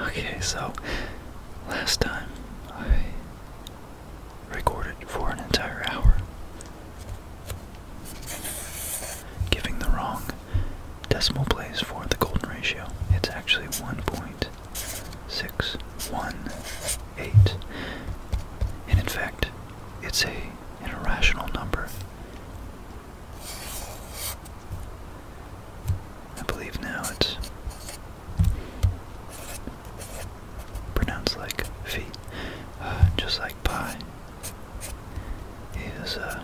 Okay, so last time I recorded for an entire hour, giving the wrong decimal place for the golden ratio. It's actually 1.618. And in fact, it's a, an irrational number. I believe now it's pronounced like feet, uh, just like "pie," is uh,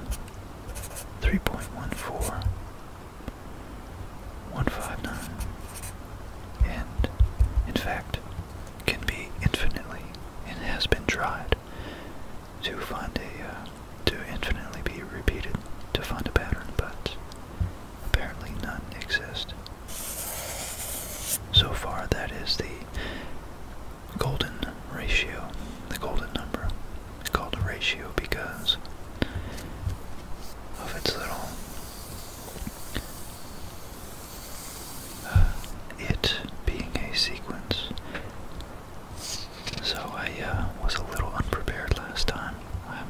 3.14. 159 and in fact can be infinitely and has been tried to find a uh, to infinitely be repeated to find a pattern but apparently none exist so far, that is the golden ratio, the golden number. It's called a ratio because of its little. Uh, it being a sequence. So I uh, was a little unprepared last time. I'm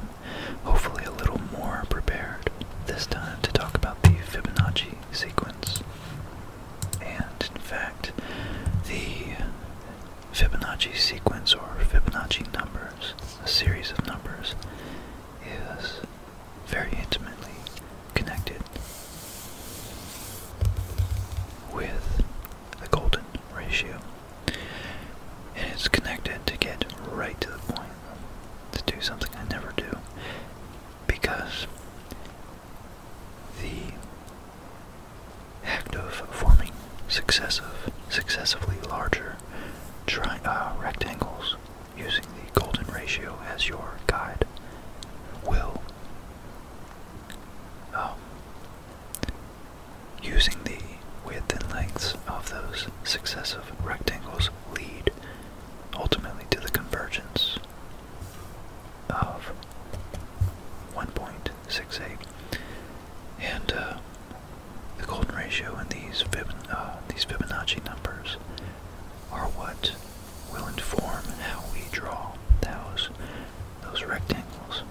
hopefully a little more prepared this time to talk about the Fibonacci sequence. And in fact, the Fibonacci sequence or Fibonacci numbers, a series of numbers, is very intimately connected with the golden ratio. And it's connected to get right to the point, to do something I never do, because the act of forming successive, successively larger uh, rectangles using the golden ratio as your guide will, um, using the width and length of those successive rectangles, lead ultimately to the convergence of 1.68 and uh, the golden ratio and uh, these, Fibonacci numbers are what will inform how we draw those, those rectangles.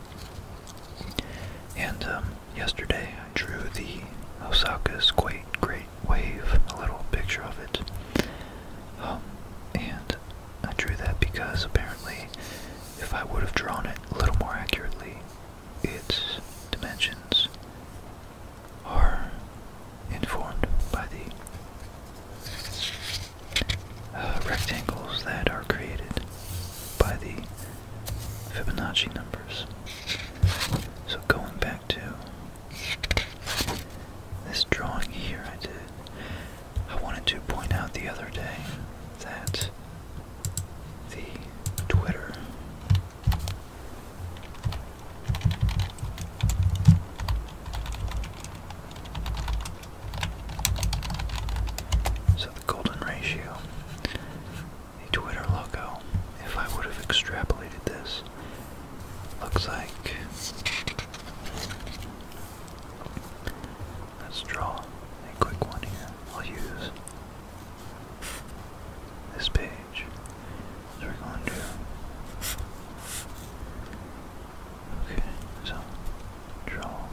And um, yesterday I drew the Osaka's great, great wave, a little picture of it. Um, and I drew that because apparently, if I would have drawn it a little more accurately, its dimensions are informed by the uh, rectangles that are created by the Fibonacci numbers. So going back to. This drawing here I did. I wanted to point out the other day that the Twitter So the golden ratio, the Twitter logo, if I would have extrapolated this looks like. Let's draw a quick one here. I'll use this page. So we're going to. Okay, so draw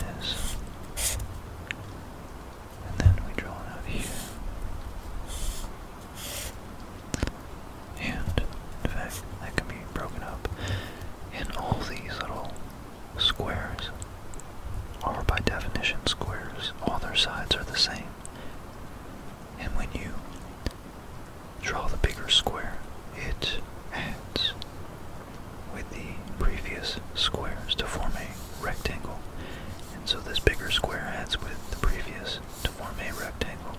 this. And then we draw out here. And in fact, that can be broken up. And all these little squares are by definition squares. All their sides are the same. And when you draw the bigger square, it adds with the previous squares to form a rectangle. And so this bigger square adds with the previous to form a rectangle,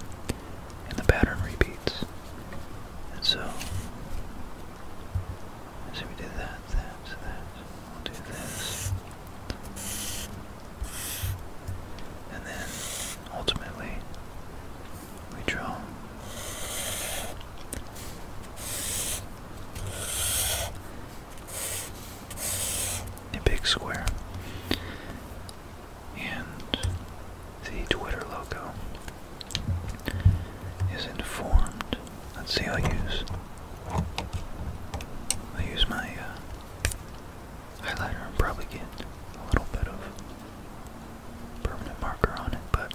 and the pattern repeats. And so, so we did that, that, that. We'll do this. And then, ultimately, we draw a big square. And the Twitter logo is informed. Let's see, i use, I'll use my uh, highlighter and probably get a little bit of permanent marker on it, but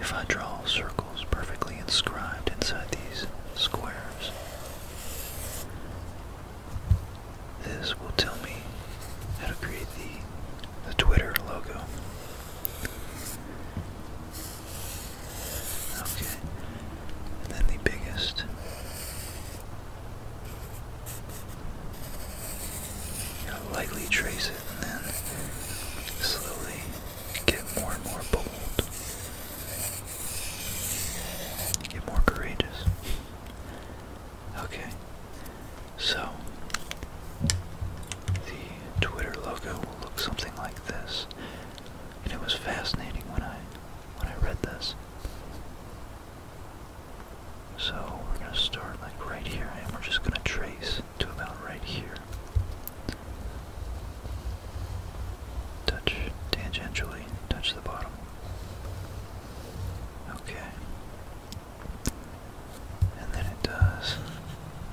if I draw circles perfectly inscribed inside these squares, this will tell me how to create the, the Twitter logo. Okay, and then the biggest. lightly trace it and then slowly get more and more bold get more courageous. Okay. So the Twitter logo will look something like this. And it was fascinating when I when I read this. So we're gonna start like right here and we're just gonna trace to about right here. Touch tangentially, touch the bottom. Okay. And then it does.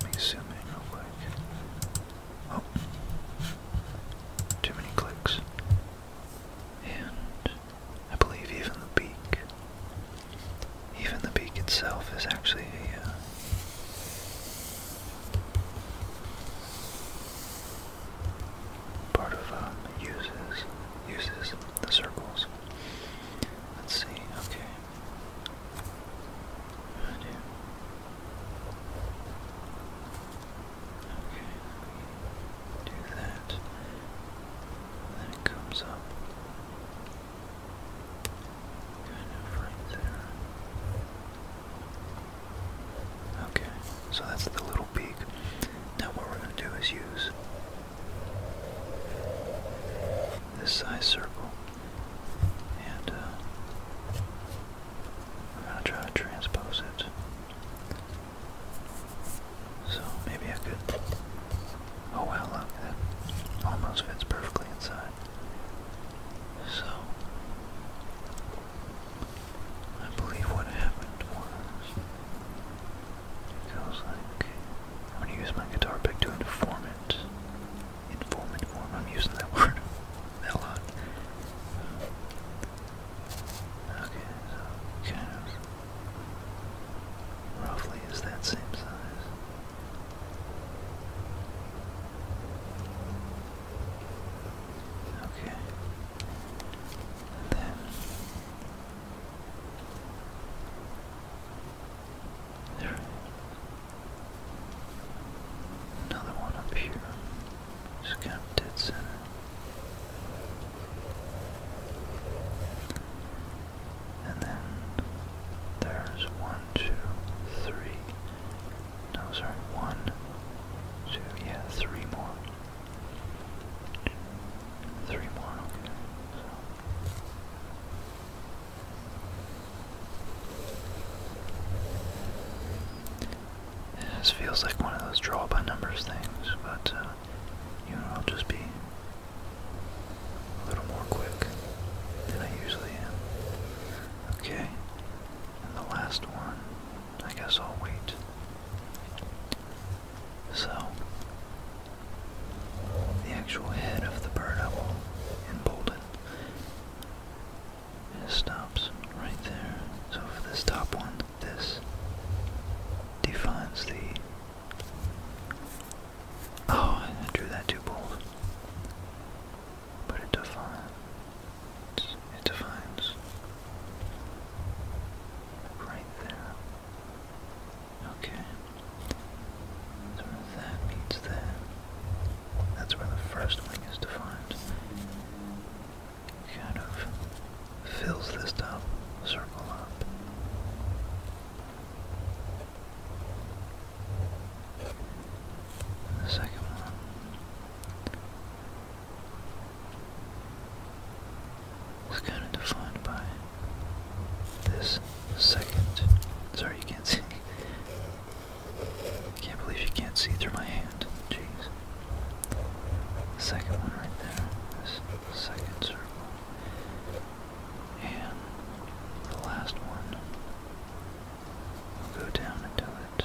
Let me zoom in real quick. Oh. Too many clicks. And I believe even the beak. Even the beak itself is actually a. Uh, part of um, uses uses the circles. Let's see. Okay. Okay, do that. then it comes up kind of right there. Okay, so that's the little peak. Now what we're going to do is use this size circle and uh, i going to try to transpose it. So maybe I could, oh wow look, that almost fits perfectly inside. So I believe what happened was, I was like, I'm gonna use my guitar pick to inform it. Inform, inform, I'm using that word a lot. okay, roughly is that same size. Okay. Then there another one up here. Just kind of dead center. And then there's one, two, three. No, sorry, one, two, yeah, three more. Three more, this feels like one of those draw by numbers things, but uh, you know, I'll just be a little more quick than I usually am. Okay, and the last one I guess I'll wait. So, the actual head of the bird owl in Bolden stops right there. So for this top one, this defines the... Oh, I drew that too bold. But it defines it defines right there. Okay. So that meets that. That's where the first wing is defined. Kind of fills this top circle up. The second one is kind of defined by this second. Sorry, you can't see. I can't believe you can't see through my hand. Jeez. second one right there. This second circle. And the last one we will go down and do it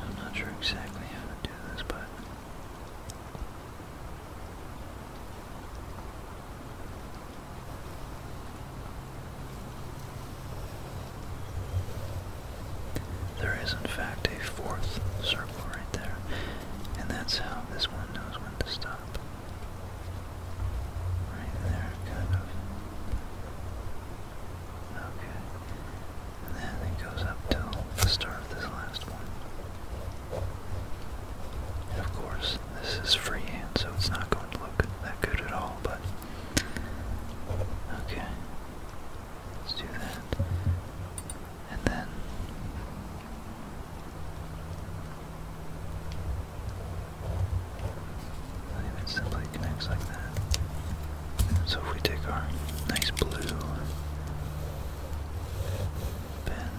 I'm not sure exactly how to do this, but. There is, in fact, a fourth circle right there, and that's how this one knows when to stop. Right there, kind of. Okay. And then it goes up till the start of this last one. of course, this is freehand, so it's not going to look that good at all, but. Okay. Let's do that. And then not simply connects like that. So if we take our nice blue pen.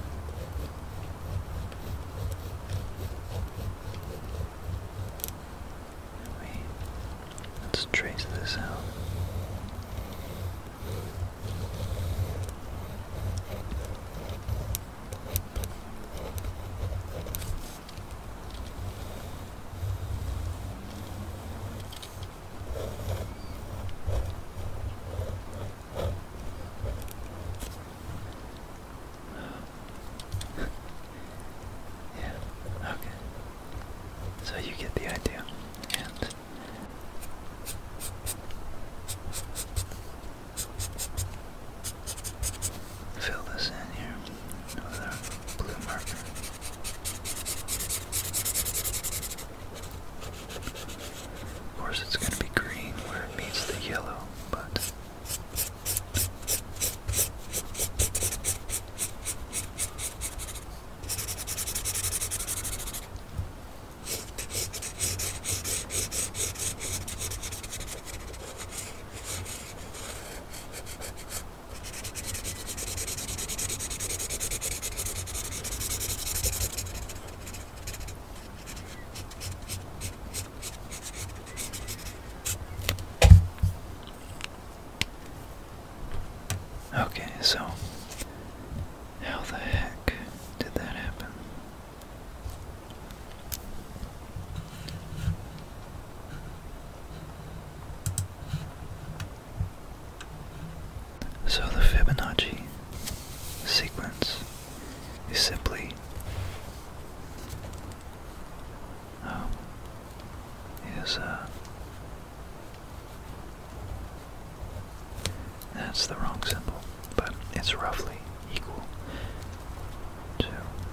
let's trace this out yeah, okay. So you get the idea. And Fill this in here with our blue marker. Of course, it's going to be green where it meets the yellow, but. Okay, so how the heck did that happen? So the Fibonacci sequence is simply um, is uh, that's the wrong symbol, but it's roughly equal to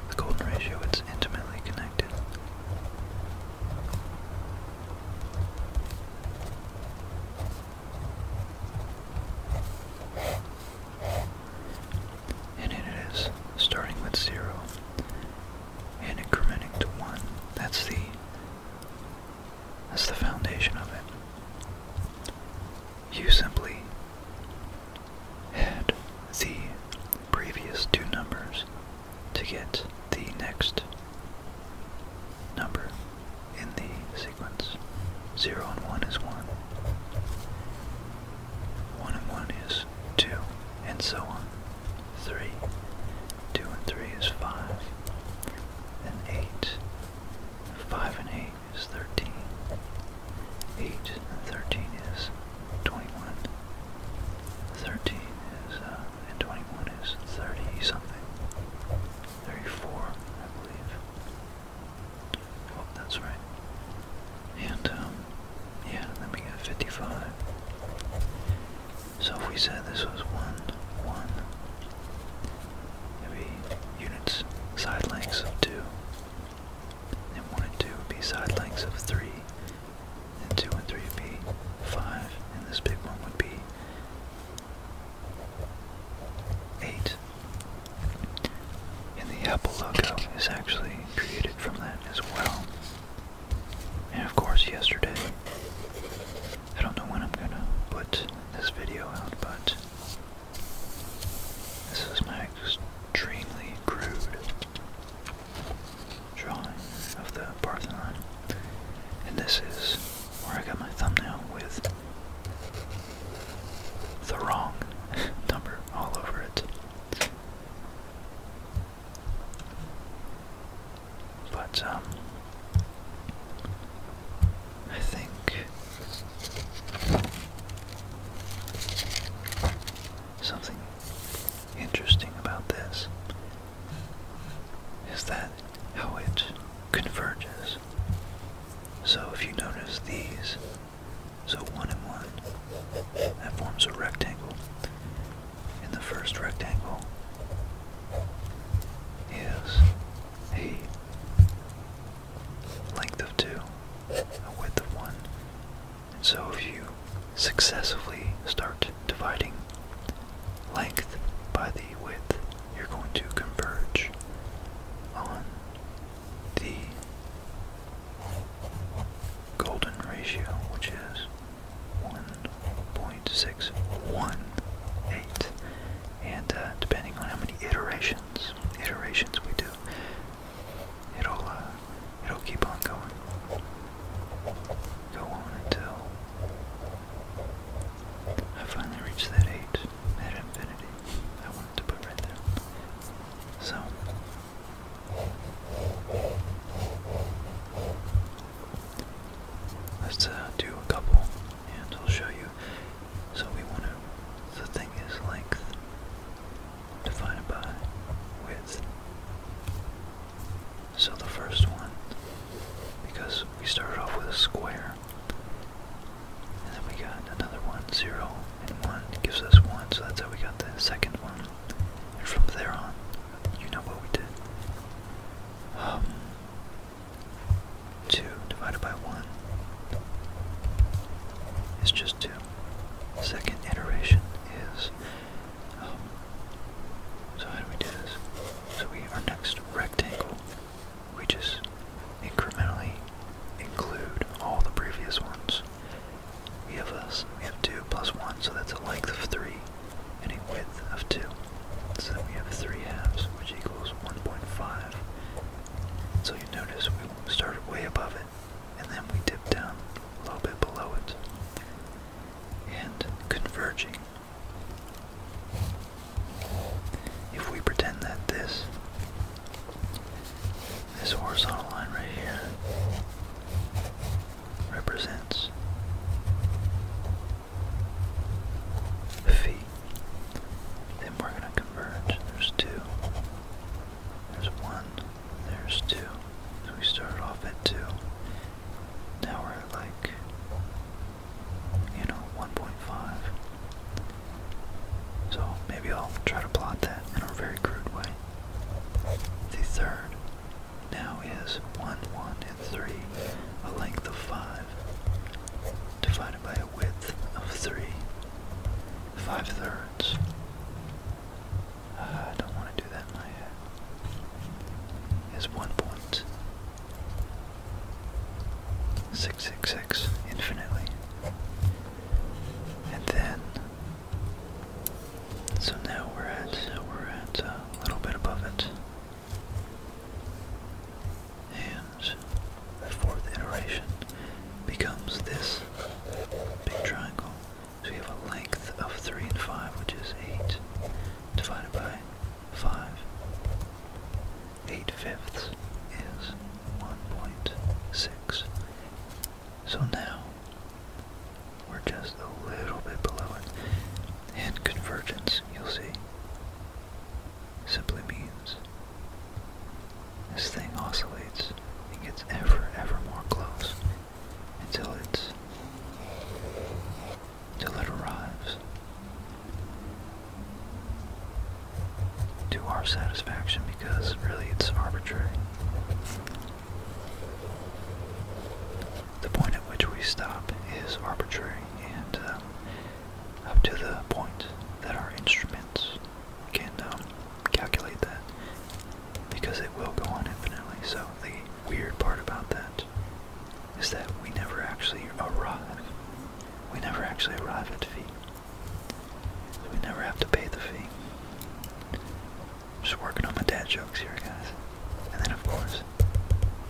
the golden ratio. It's intimately connected. And it is starting with zero and incrementing to one. That's the that's the foundation of it you simply add the previous two numbers to get the next number in the sequence. 0 and 1 is 1. 1 and 1 is 2, and so on. 3. 2 and 3 is 5. And 8. 5 and 8 is 13. 13 is 21. 13 is, uh, and 21 is 30 something. 34, I believe. Oh, that's right. And, um, yeah, then we got 55. So if we said this was 1, 1, maybe units side lengths of 2, and 1 and 2 would be side lengths of 3, and 2 and 3 would be 5, and this big one would be 8. And the Apple logo is actually created from that as well. And of course, yesterday, I don't know when I'm gonna put this video out, but this is my extremely crude drawing of the Parthenon. And this is where I got my thumbnail with the wrong number all over it. But, um, I think something interesting about this is that how it converges. So if you notice these, so one and one, that forms a rectangle. In the first rectangle is a length of two, a width of one. And so if you successively start dividing length by the width, you're going to converge on the golden ratio, which is 1.618. And uh, depending on how many iterations, iterations we do, it'll uh, it'll keep on going, go on until I finally reach that eight, that infinity I wanted to put right there. So. Let's uh, do a couple, and I'll show you so we want to, the thing is length divided by width. So the first one, because we started off with a square, and then we got another one, zero, and one gives us one, so that's how we got the second one. And from there on, you know what we did. Um, 2 divided by 1 it's just two. Second iteration is, um, so how do we do this? So we, our next rectangle, we just incrementally include all the previous ones. We have us, we have two plus one, so that's a length of three and a width of two. So then we have three halves, which equals 1.5. So you notice we started way above it, and then we dipped down a little bit below it, and converging. If we pretend that this, this horizontal line right here, represents feet, then we're going to converge. There's two. There's one. There's two. we started off at two. Now we're at like, you know, 1.5. So maybe I'll try to plot that in a very crude way. The third now is 1, 1, and 3, a length of 5. divided by a width of 3, 5 thirds. don't want to do that in my head. Is 1.666 infinitely. And then, so now we're at, we're at a little bit above it. And the fourth iteration becomes this big triangle. So we have a length of 3 and 5, which is 8, divided by 5. 8 fifths is 1.6. So now, we're just a little bit below it. And convergence, you'll see, simply means this thing oscillates and gets ever, ever more close until it's till it arrives to our satisfaction because really it's arbitrary. The point at which we stop is arbitrary and um, up to the point that our instruments can um, calculate that because it will go on infinitely. So the weird part about that is that we never actually arrive. We never actually arrive at phi. So we never have to pay the fee. Just working on my dad jokes here, guys. And then, of course,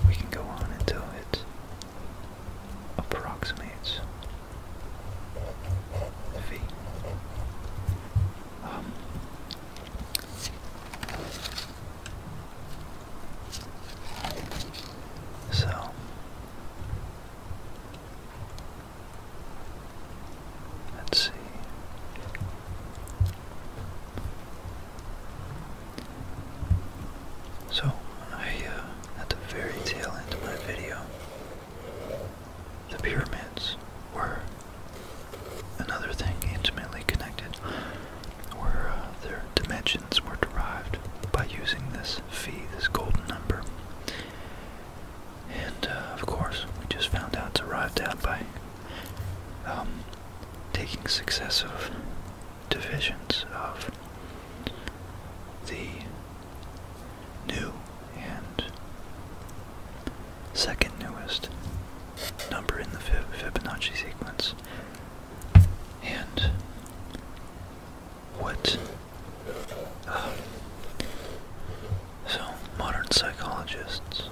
we can go on until it approximates V. Um, so let's see. So I, uh, at the very tail end of my video, the pyramids were another thing intimately connected, where uh, their dimensions were derived by using this phi, this golden number. And uh, of course, we just found out it's arrived at by um, taking successive divisions of the new and second newest number in the Fibonacci sequence. And what? Uh, so, modern psychologists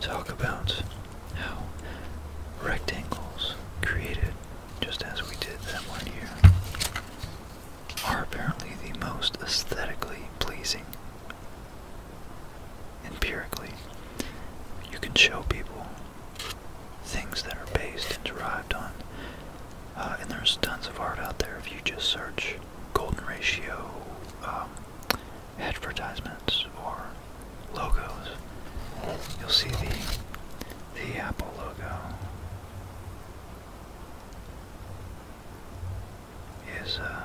talk about how rectangles created just as we did that one here are apparently the most aesthetically pleasing. Empirically, you can show people things that are based and derived on, uh, and there's tons of art out there if you just search golden ratio um, advertisements or logos. You'll see the the Apple logo is uh,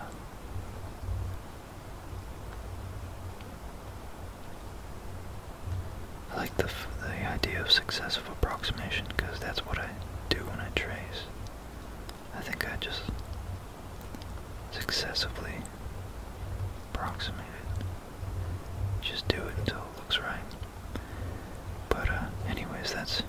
I like the, the idea of successive approximation because that's what I do when I trace. I think I just successively approximate it. Just do it until it looks right. But, uh, anyways, that's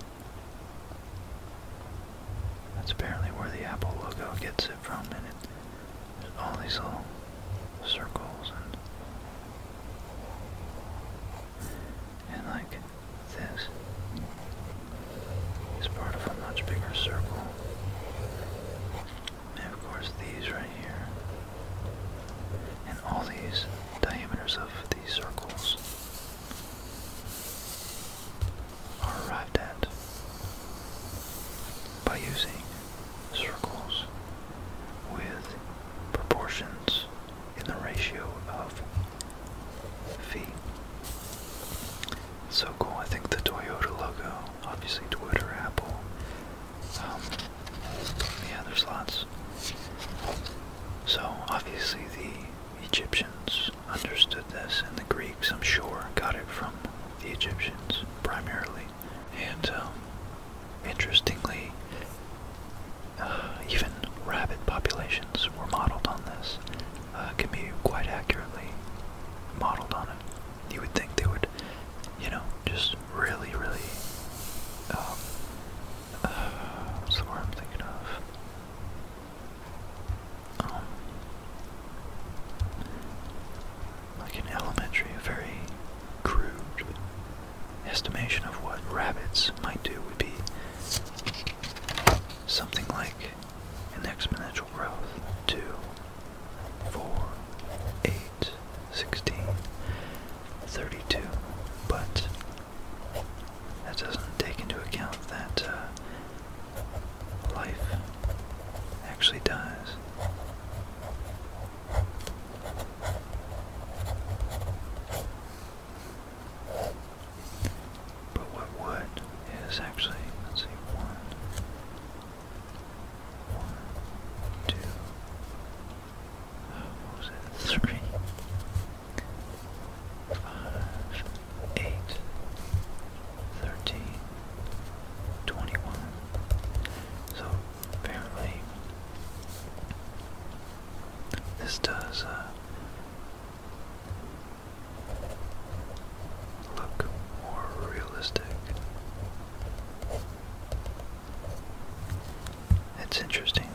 that's apparently where the Apple logo gets it from, and it, all these little circles and and like this is part of a much bigger circle. And of course these right here. And all these diameters of these circles are arrived at by using circles with proportions in the ratio of phi. So cool, I think the Toyota logo, obviously Twitter, Apple, um, yeah, there's lots. So obviously the Egyptians understood this, and the Greeks, I'm sure, got it from the Egyptians primarily. And um, interestingly, uh, even rabbit populations were modeled on this, uh, can be quite accurately modeled on it. You would think they would, you know, just really, really um, uh, what's I'm thinking of? Um, like in elementary, very crude estimation of what rabbits might do would be something like an exponential growth 2, 16, 32. But that doesn't take into account that uh, life actually dies. But what actually, let's see, one, one, two, oh, what was it, three, five, eight, thirteen, twenty-one. So apparently, this does uh, look more realistic. It's interesting.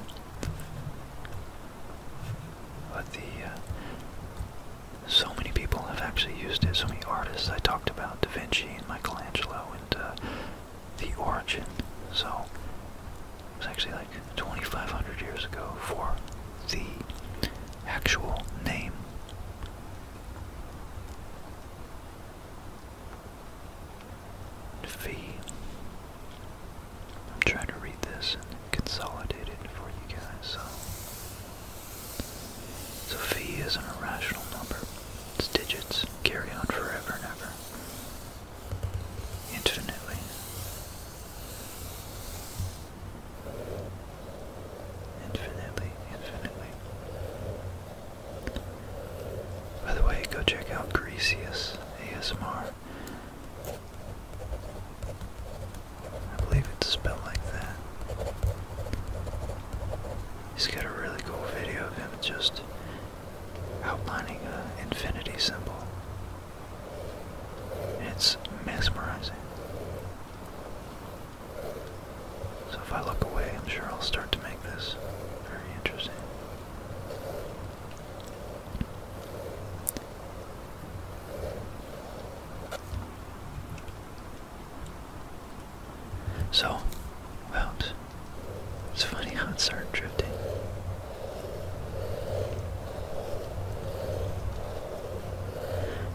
But the uh, so many people have actually used it. So many artists. I talked about Da Vinci and Michelangelo and uh, the origin. So it was actually like 2,500 years ago for the actual name. V I'm trying to read this and consolidate it for you guys. So, so phi is an irrational number. Its digits carry on forever and ever, infinitely. Infinitely, infinitely. By the way, go check out Grecius ASMR. I believe it's spelled like that. He's got a really cool video of him just outlining an infinity symbol. It's mesmerizing. So if I look away, I'm sure I'll start to make this very interesting. So, well, it's funny how it started drifting.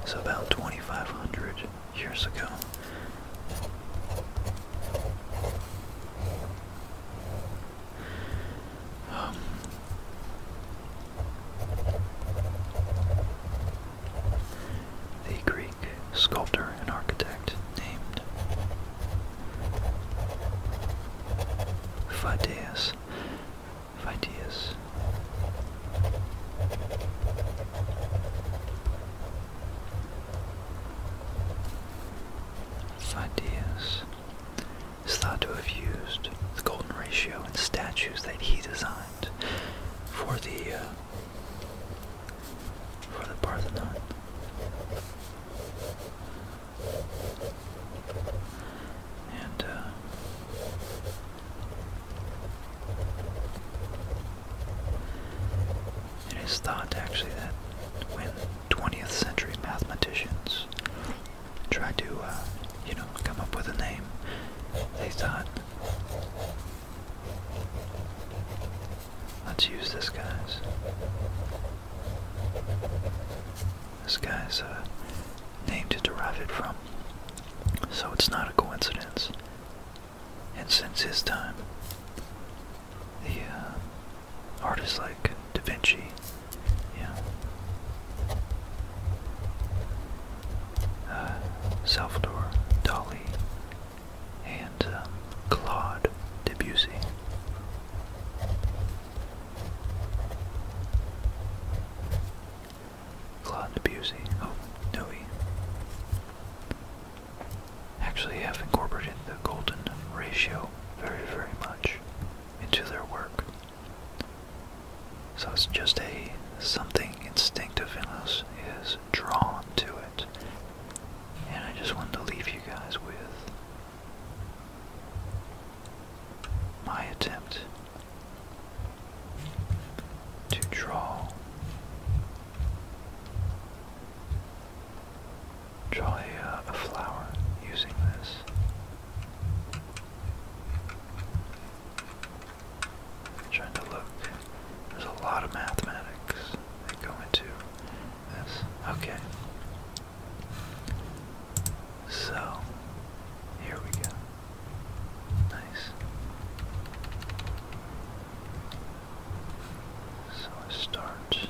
So about 2,500 years ago, the Greek sculptor and architect named Phidias. Phidias. Phidias is thought to have used the golden ratio in statues that he designed for the uh, for the Parthenon. And uh, it is thought actually that when 20th century mathematicians try to, uh, you know, come up with a name. They thought, let's use this guy's. This guy's uh, name to derive it from. So it's not a coincidence. And since his time, the uh, artists like Da Vinci. Yeah. Uh, Salvador Dali and um, Claude Debussy. Claude Debussy. Oh, no he. Actually have incorporated the golden ratio very, very much into their work. So it's just a something instinctive in us is drawn to it. And I just wanted to leave you guys with my attempt to draw draw a, uh, a flower using this trying to look. There's a lot of mathematics that go into this. Okay. So, here we go. Nice. So I start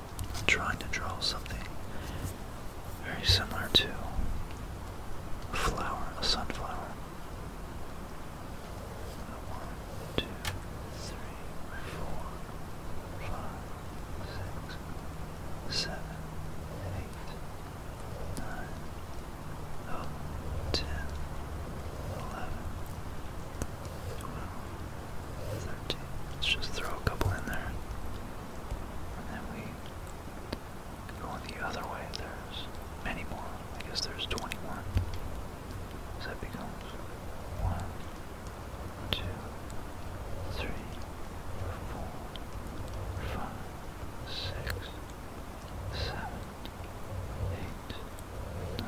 trying to draw something very similar to a flower, a sunflower. One, two, three, four, five, six, seven, eight, nine, oh, ten, eleven, twelve, thirteen. Let's just throw a couple in there. And then we go the other way. There's many more. I guess there's 21. So that becomes 1, 2, 3, 4, 5, 6, 7, 8, 9, 10,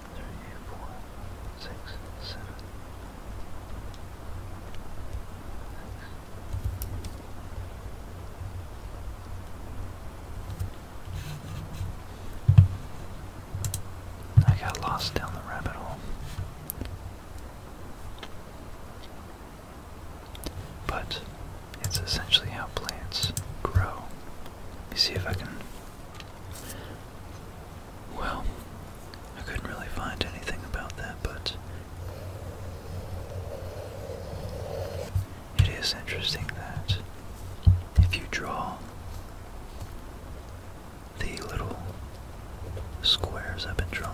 I got lost down the rabbit hole. But it's essentially how plants grow. see if I can well, I couldn't really find anything about that, but it is interesting that if you draw the little squares I've been drawing,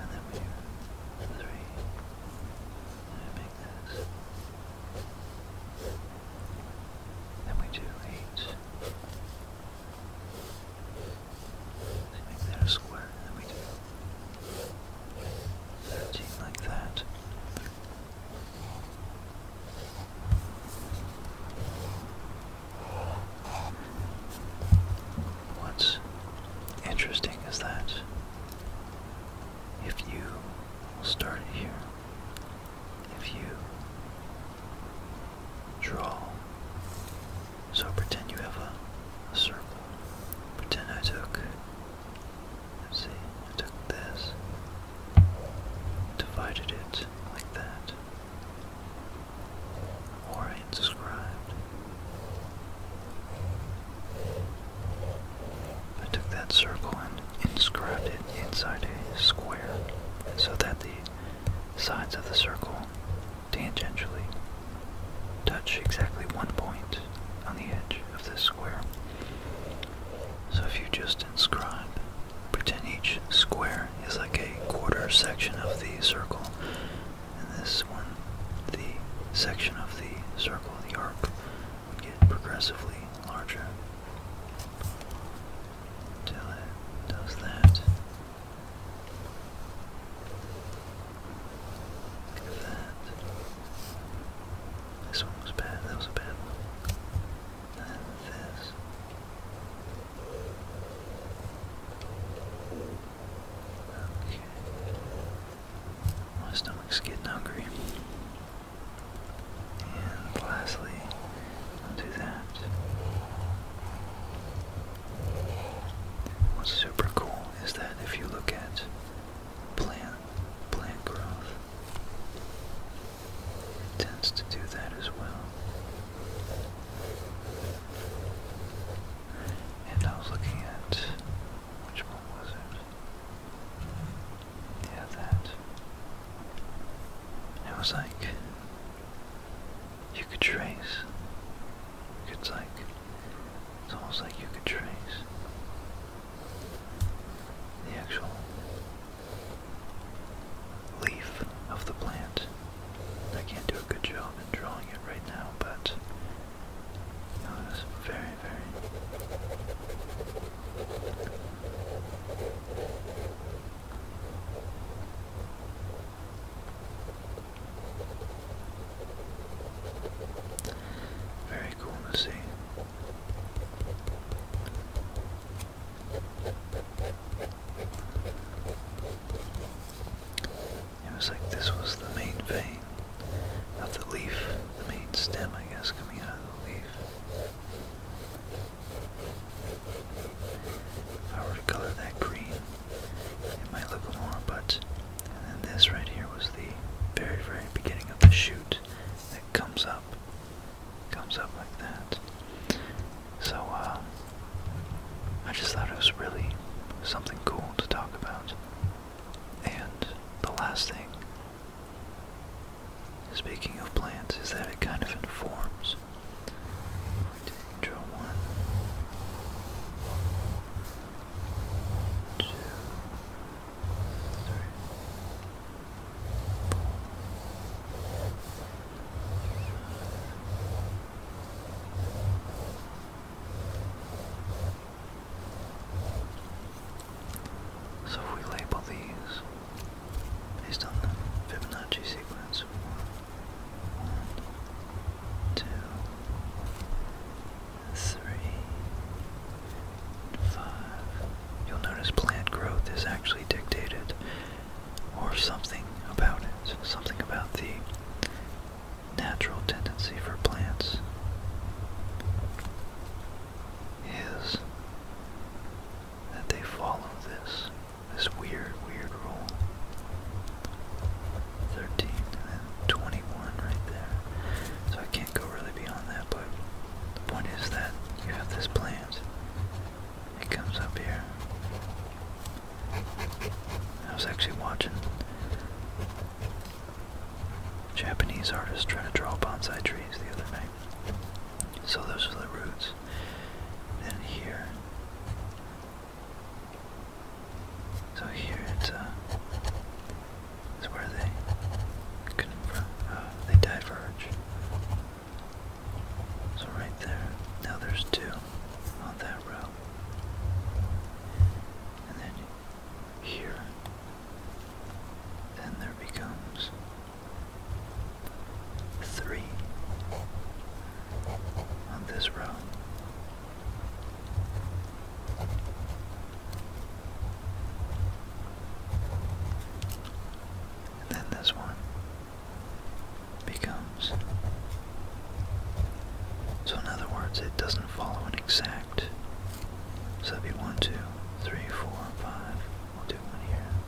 and then we do three, then we do 8. Make that square, then we do like that. What's interesting is that if you start here if you draw. So pretend you have a, circle. Pretend I took, let's see, I took this, divided it like that, or inscribed. I took that circle and inscribed it inside a square so that the sides of the circle tangentially touch exactly one point on the edge of this square. So if you just inscribe, pretend each square is like a quarter section of the circle, and this one, the section of the circle, the arc, would get progressively larger until it does that. Look at that. This one was bad, that was a bad one. And this. Okay. My stomach's getting hungry. And lastly, do that. What's super cool is that if you look at plant plant growth, it tends to do that as well. And I was looking at which one was it? yeah, that. It was like you could trace. It's like it's almost like you could trace the actual leaf of the plant. I can't do a good job in drawing it right now, but it was very very cool to see. It was like this was the main vein of the leaf, the main stem, I guess, coming out of the leaf. If I were to color that green, it might look more, but. then this right here was the very, very beginning of the shoot that comes up. Comes up like that. So, um, I just thought it was really something cool to talk about. And the last thing Speaking of plants, is that it kind of informs. So if we label these based on the Fibonacci sequence of You'll notice plant growth is actually dictated, or something about it, something about the natural tendency for plants is that they follow this this weird, weird rule. 13 and then 21 right there. So I can't go really beyond that, but the point is that you have this plant. It comes up here. I was actually watching Japanese artist trying to draw bonsai trees the other night. So those are the roots. Then here. So here it's uh, where they confirm uh, they diverge. So right there. Now there's two on that row. And then here. Then there becomes three on this row. And then this one becomes. So, in other words, it doesn't follow an exact. So that'd be 1, 2, We'll do one here.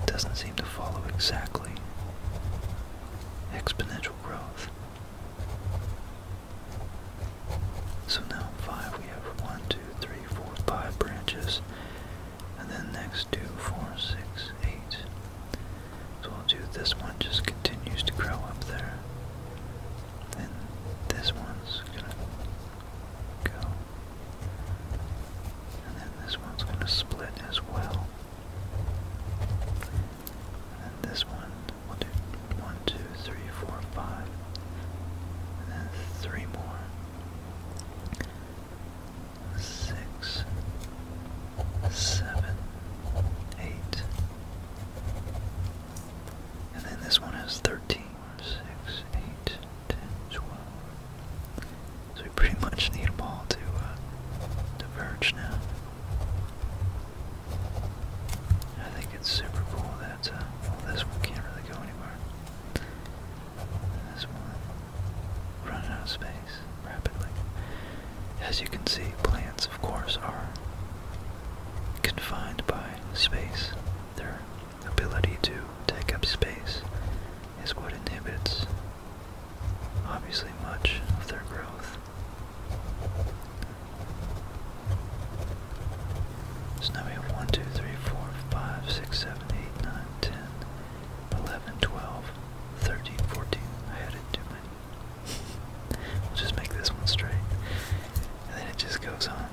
It doesn't seem to follow exactly exponential growth. So now 5 we have one, two, three, four, five branches, and then next two, four, six, eight. 4, 6, 8. So we'll do this one just continues to grow up there, Then this one's gonna Go. And then this one's going to split as well. And this one, we'll do one, two, three, four, five. And then three more. Six, seven, eight. And then this one has 13. 6, So we pretty much need them all to uh, diverge now. I think it's super cool that uh, this one can't really go anywhere. This one running out of space rapidly. As you can see, plants, of course, are confined by space. They're ability to take up space is what inhibits obviously much of their growth. So now we have 1, I had it too many. we'll just make this one straight. And then it just goes on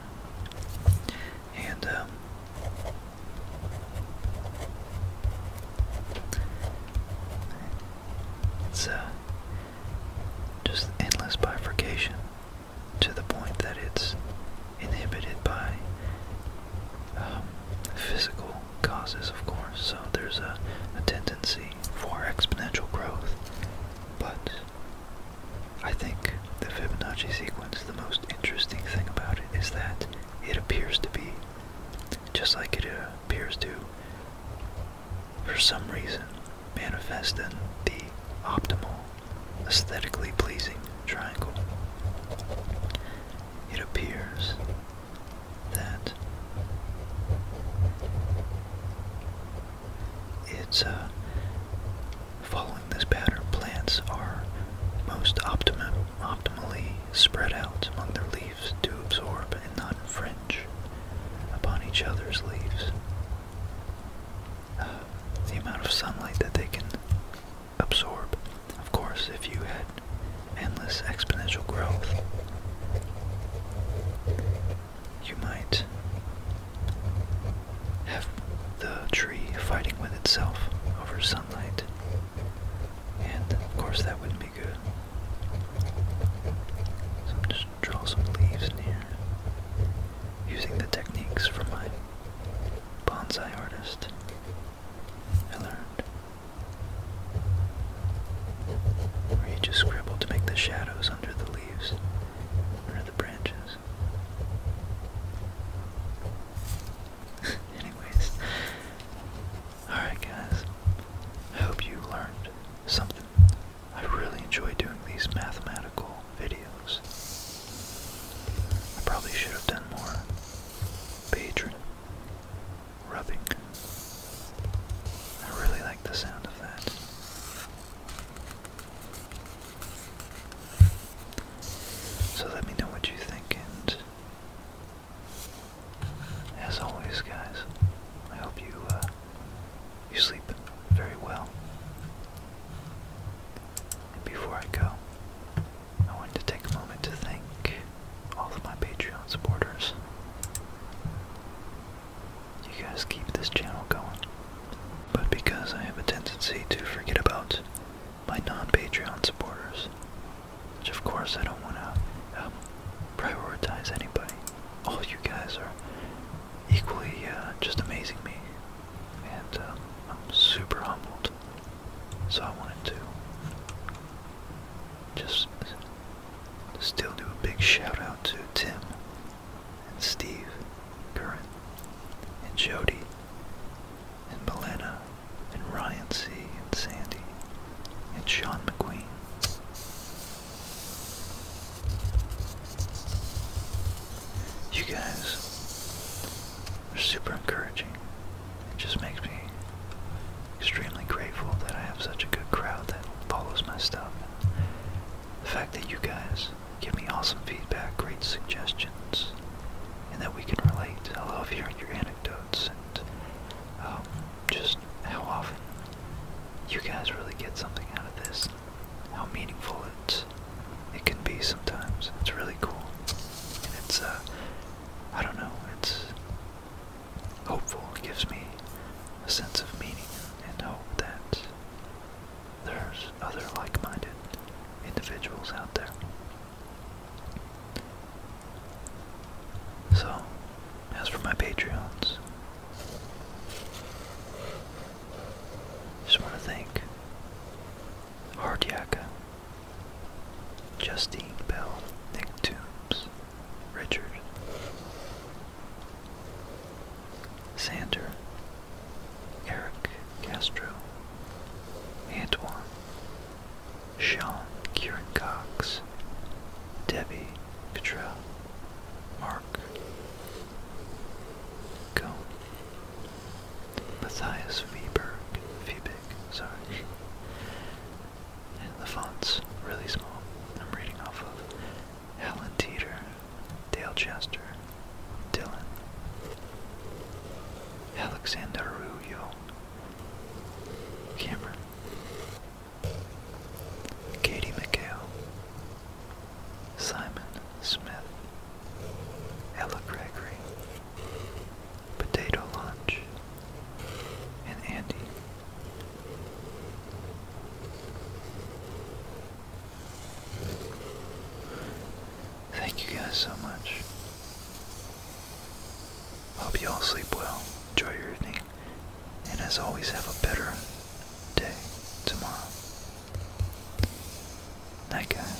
and um, so, uh, just endless bifurcation to the point that it's inhibited by um, physical causes, of course. So there's a, a tendency for exponential growth, but I think the Fibonacci sequence, the most interesting thing about it is that it appears to be, just like it appears to, for some reason, manifest in the optimal, aesthetically pleasing triangle. It appears that it's a. Uh, Following this pattern, plants are most optimum, optimally spread out among their leaves to absorb and not infringe upon each other's leaves. Uh, the amount of sunlight that they can absorb. Of course, if you had endless exponential growth, you might have the tree fighting with itself over sunlight. And of course, that wouldn't be good. So I'm just draw some leaves in here using the techniques from my bonsai artist I learned. Where you just scribble to make the shadows under the leaves, under the branches. Anyways. Alright guys. hope you learned something. I really enjoy doing these mathematical videos. I probably should have done more patron rubbing. I really like the sound of that. So let me know what you think, and as always, guys, I hope you uh, you sleep very well. before I go, I wanted to take a moment to thank all of my Patreon supporters. You guys keep this channel going. But because I have a tendency to forget about my non-Patreon supporters, which of course I don't want to um, prioritize anybody. All you guys are equally uh, just amazing me, and um, I'm super humbled. So I wanted to just still do a big shout out to Tim and Steve, Curran, and Jody, and Belena, and Ryan C. and Sandy, and Sean McQueen. You guys are super encouraging. It just makes me extremely grateful that I have such a good crowd that follows my stuff. The fact that you guys Give me awesome feedback, great suggestions, and that we can relate. I love hearing your anecdotes and um, just how often you guys really get something out of this, how meaningful it, it can be sometimes. It's really cool. And it's, uh, I don't know, it's hopeful. It gives me a sense of meaning and hope that there's other like minded individuals out there. So, as for my Patreons, just want to thank Hardyaka, Justine Bell, Nick Toombs, Richard, Sander, Eric Castro, Antoine, Sean Kieran Cox, Debbie Petrell, Mark, Cohn, Matthias Viberg, Vibig, sorry. And the font's really small. I'm reading off of Helen Teeter, Dale Chester, Dylan, Alexander Rubio, Cameron, Katie McGill, Simon Smith, Ella Gregory, Potato Lunch, and Andy. Thank you guys so much. Hope you all sleep well, enjoy your evening, and as always, have a better day tomorrow. Night, guys.